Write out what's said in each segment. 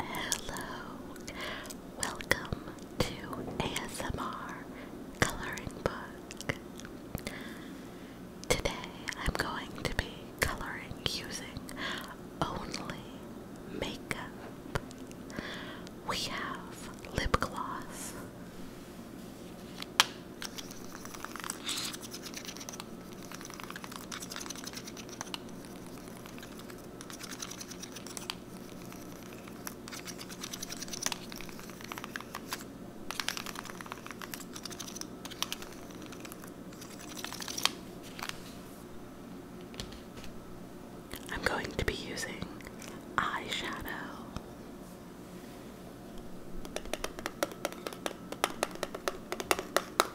Hello, welcome to ASMR Coloring Book. Today I'm going to be coloring using only makeup. We have lip gloss. I'm going to be using eyeshadow.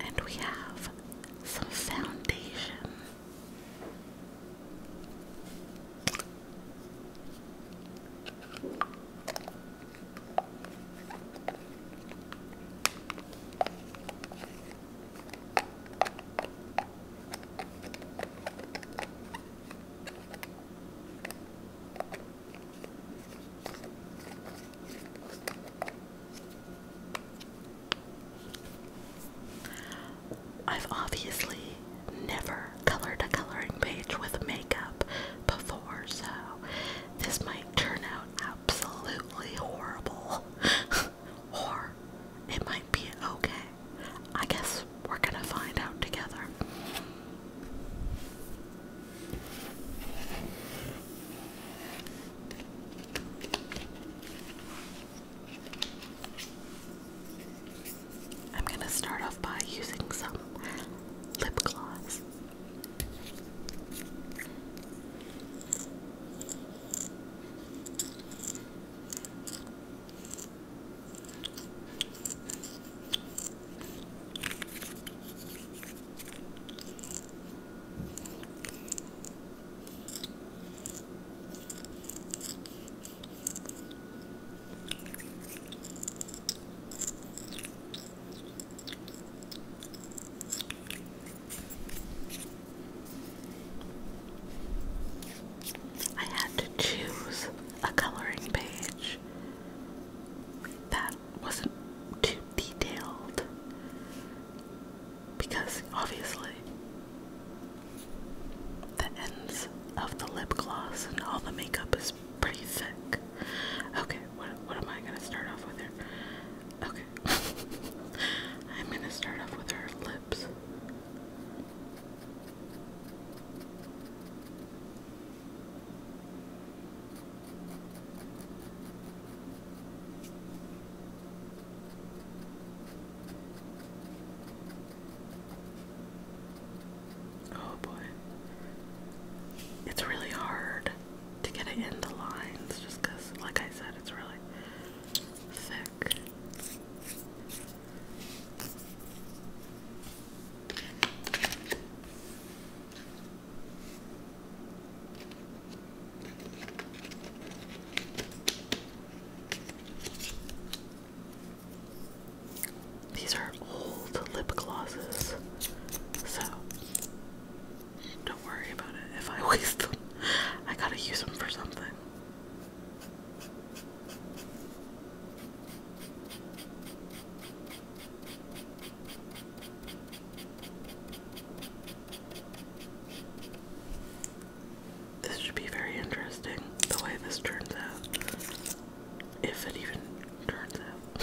And we have some foundation. I've obviously never colored a coloring page with makeup before, so this might turn out absolutely horrible. or it might be okay. I guess we're gonna find out together. I'm going to start off by using some lip gloss. I had to choose a coloring page that wasn't too detailed because obviously the ends of the lip gloss and all the makeup is pretty thick. Okay, what, what am I gonna start off with here? Okay, I'm gonna start off with her lips. Oh boy. It's really hard to get it into lines just because, like I said, it's really thick. These are old lip glosses, so don't worry about it if I waste them. I gotta use them for something. This should be very interesting the way this turns out. If it even turns out.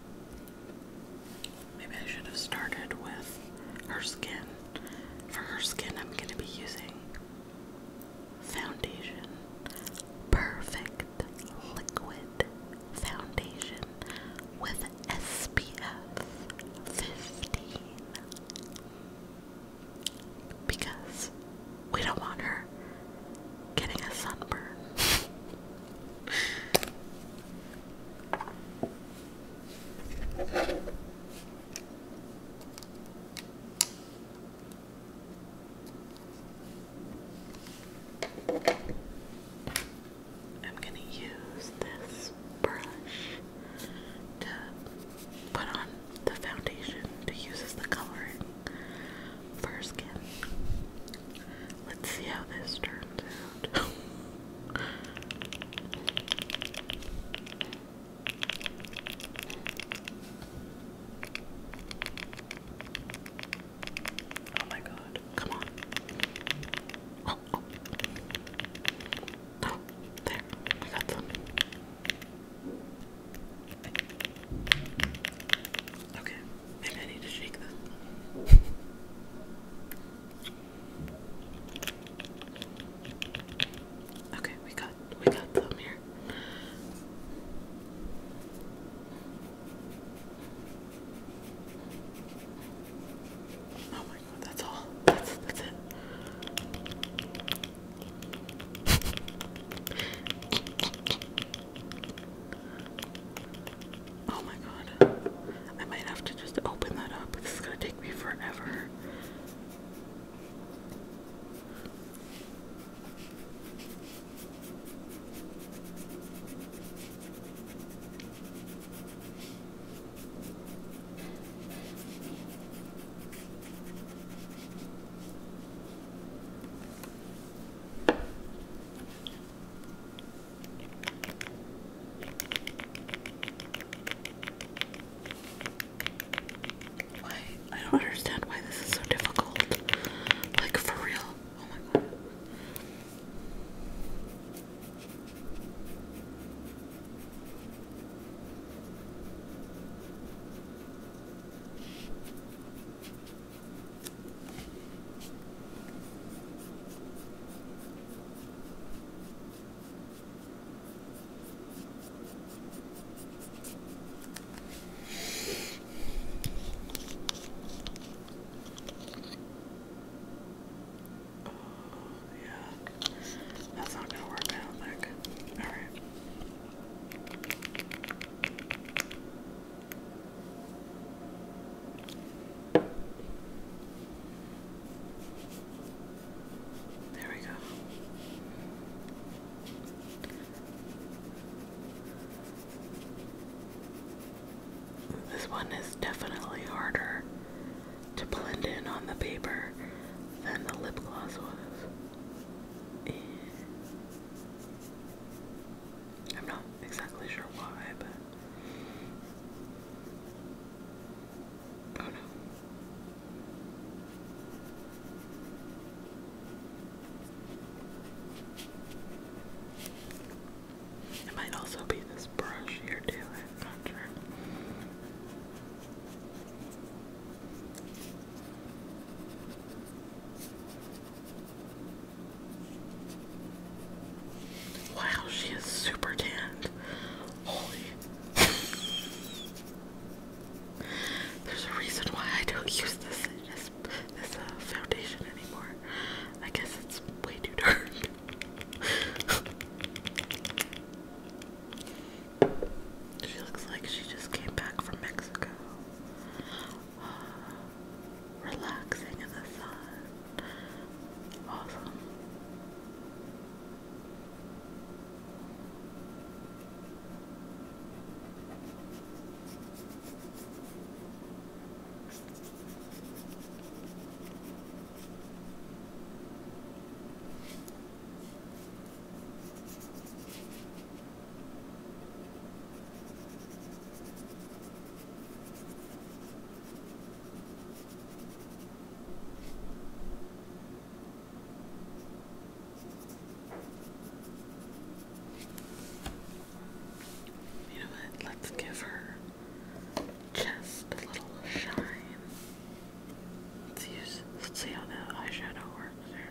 Maybe I should have started with her skin. For her skin, I'm going to be using Foundation Perfect Liquid Foundation with SPF 15. Because we don't want her getting a sunburn. I'm going to use this brush to put on the foundation to use as the coloring for skin. Let's see how this turns out. oh my god, come on. Oh, oh. oh there, I got some. Okay, maybe I need to shake this. Okay, we got we got some here. Oh my god, that's all. That's that's it. Oh my god. I might have to just open that up. This is gonna take me forever. Why? I don't understand why this is so difficult. Like, for real. Oh my god. Oh, yeah, that's not gonna work, I don't think. Alright. There we go. This one is definitely harder to blend in on the paper than the lip gloss was. I'm not exactly sure why, but. Oh no. It might also be this brush here too, I'm not sure. Wow, she is super tanned. Holy. There's a reason why I don't use this this foundation anymore. I guess it's way too dark. she looks like she just came back from Mexico relaxing in the sun. Awesome. You know what? Let's give her just a little shine. Let's use. Let's see how the eyeshadow works here.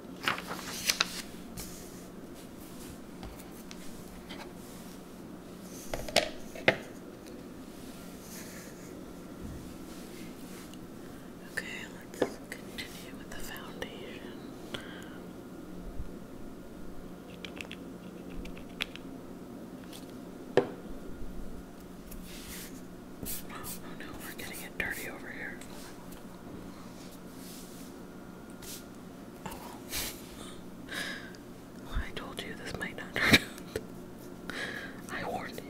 Okay, let's continue with the foundation. Oh, no, we're getting it dirty over here. Oh, I told you this might not turn out. I warned you.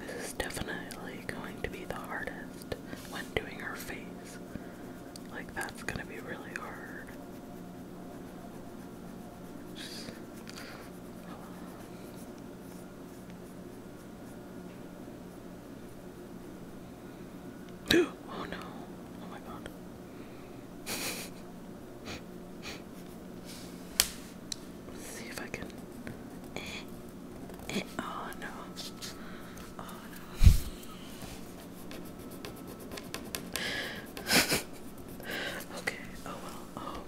This is definitely going to be the hardest when doing her face. Like, that's gonna be really hard. oh no. Oh my god. Let's see if I can. Eh, eh. Oh no. Oh no. okay. Oh well. Oh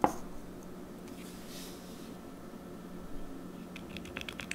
well.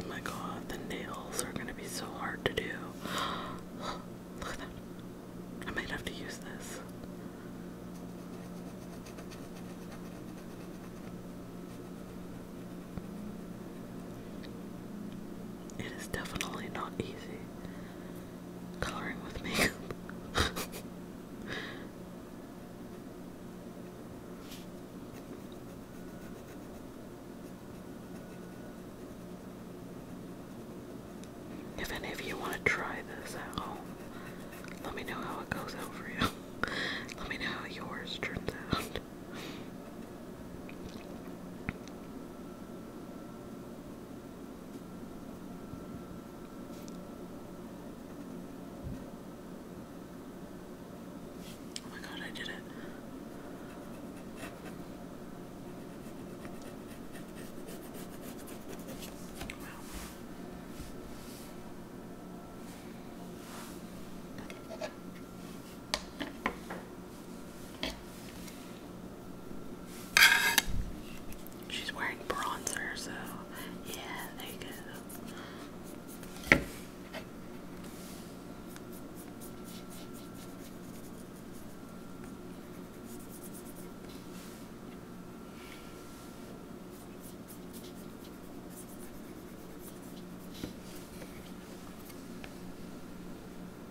Oh my god, the nails are gonna be so hard to do. Look at that. I might have to use this. It is definitely not easy coloring with makeup. if any of you want to try this at home, let me know how it goes out for you. let me know how yours turns out. Oh my god, I did it. Wow. She's wearing bronzer, so yeah, there you go.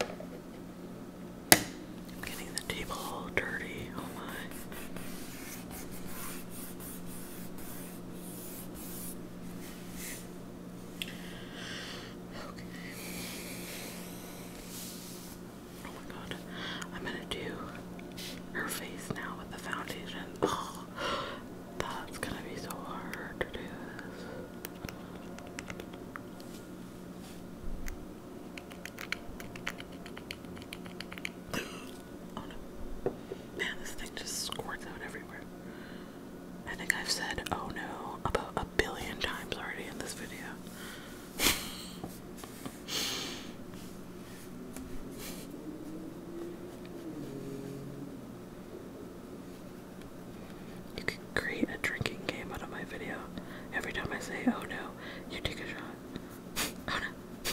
I'm getting the table all dirty. Oh my. Okay. Oh my god. I'm gonna do her face now with the foundation. Oh, that's gonna be so hard to do oh no. Man, this thing just squirts out everywhere. I think I've said oh no about a billion times already in this video. You can create a drinking game out of my video. Every time I say, oh no, you take a shot. oh no.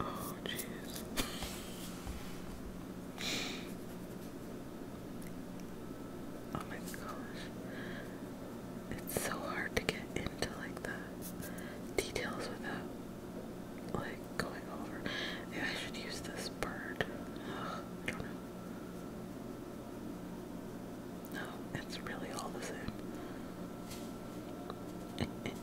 Oh, jeez. Oh my gosh. It's so hard to get into like the details without like going over. Maybe I should use this bird. I don't know. No, it's really all the same.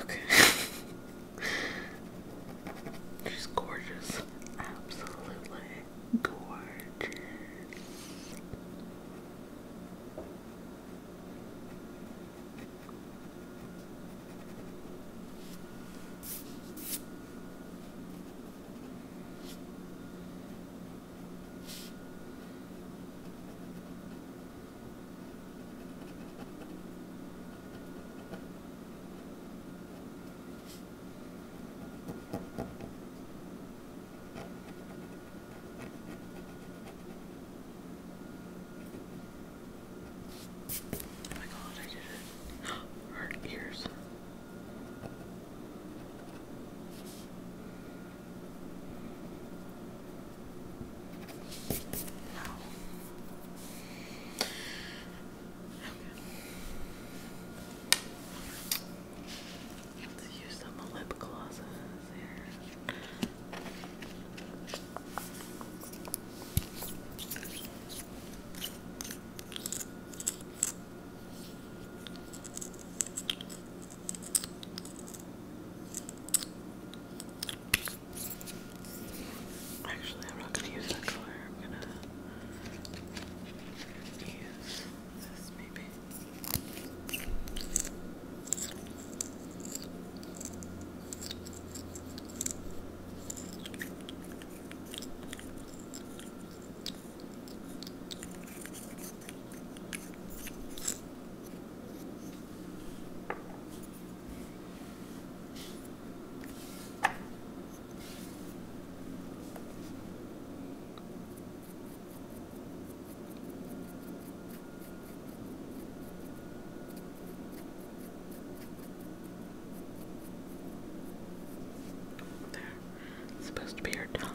Okay. She's gorgeous. Absolutely gorgeous. Oh my god, I did it. Her ears. No. Okay. Let's use some lip glosses here. Actually, I'm not gonna use that color. I'm gonna use this maybe. There. supposed to be your tongue.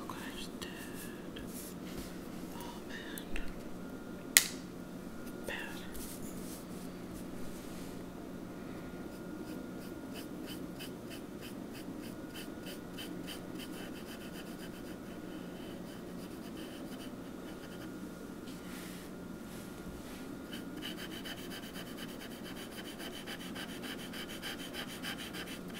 Oh gosh, Dad. Oh man. Bad.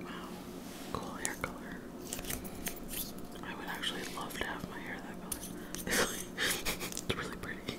Wow, cool hair color. I would actually love to have my hair that color. It's, really pretty.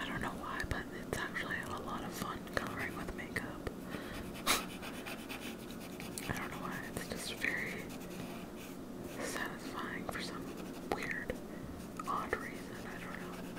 I don't know why, but it's actually a lot of fun coloring with makeup. I don't know why, it's just very satisfying for some weird, odd reason. I don't know.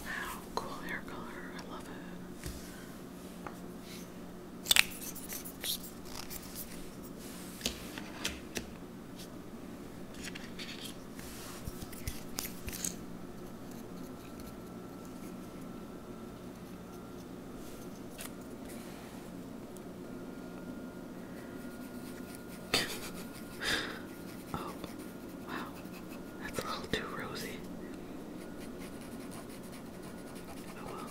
Wow, cool hair color. I love it. oh, wow, that's a little too rosy. Oh well.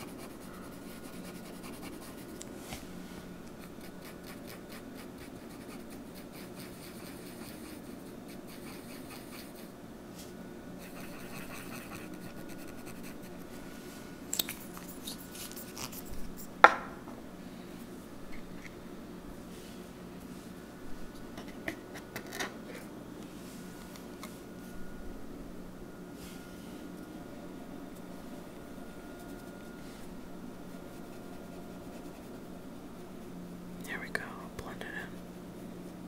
There we go, blend it in.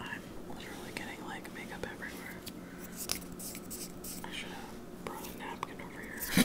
I'm literally getting like makeup everywhere. I should have brought a napkin over here.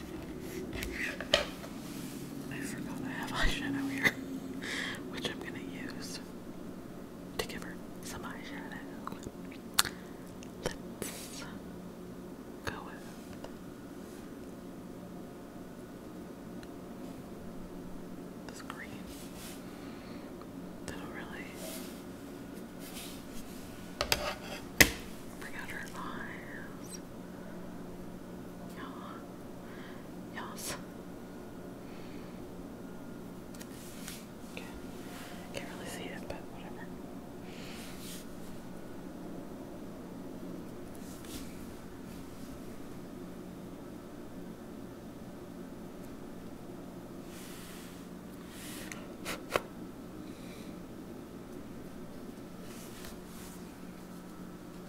I forgot I have eyeshadow here, which I'm gonna use to give her some eyeshadow. Let's go with this green. That'll really bring out her eyes. Ja. Yes. Okay. Can't really see it, but whatever.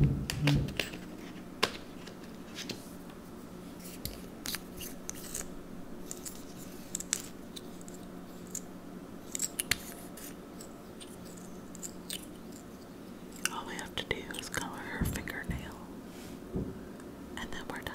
Mm-hmm. All we have to do is color her fingernail, and then we're done.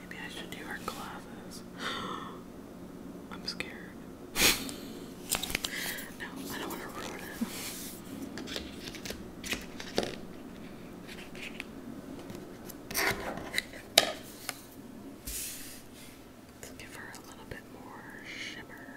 Maybe I should do her glasses. I'm scared. no, I don't want to ruin it. Let's give her a little bit more shimmer.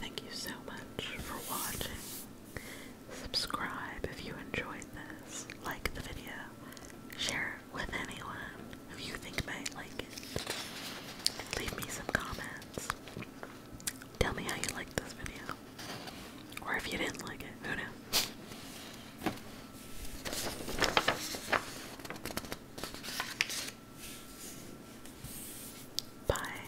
Thank you so much for watching. Subscribe if you enjoyed this, like the video, Share it with anyone who you think might like it. Leave me some comments. Tell me how you liked this video. Or if you didn't like it, who knows? Bye.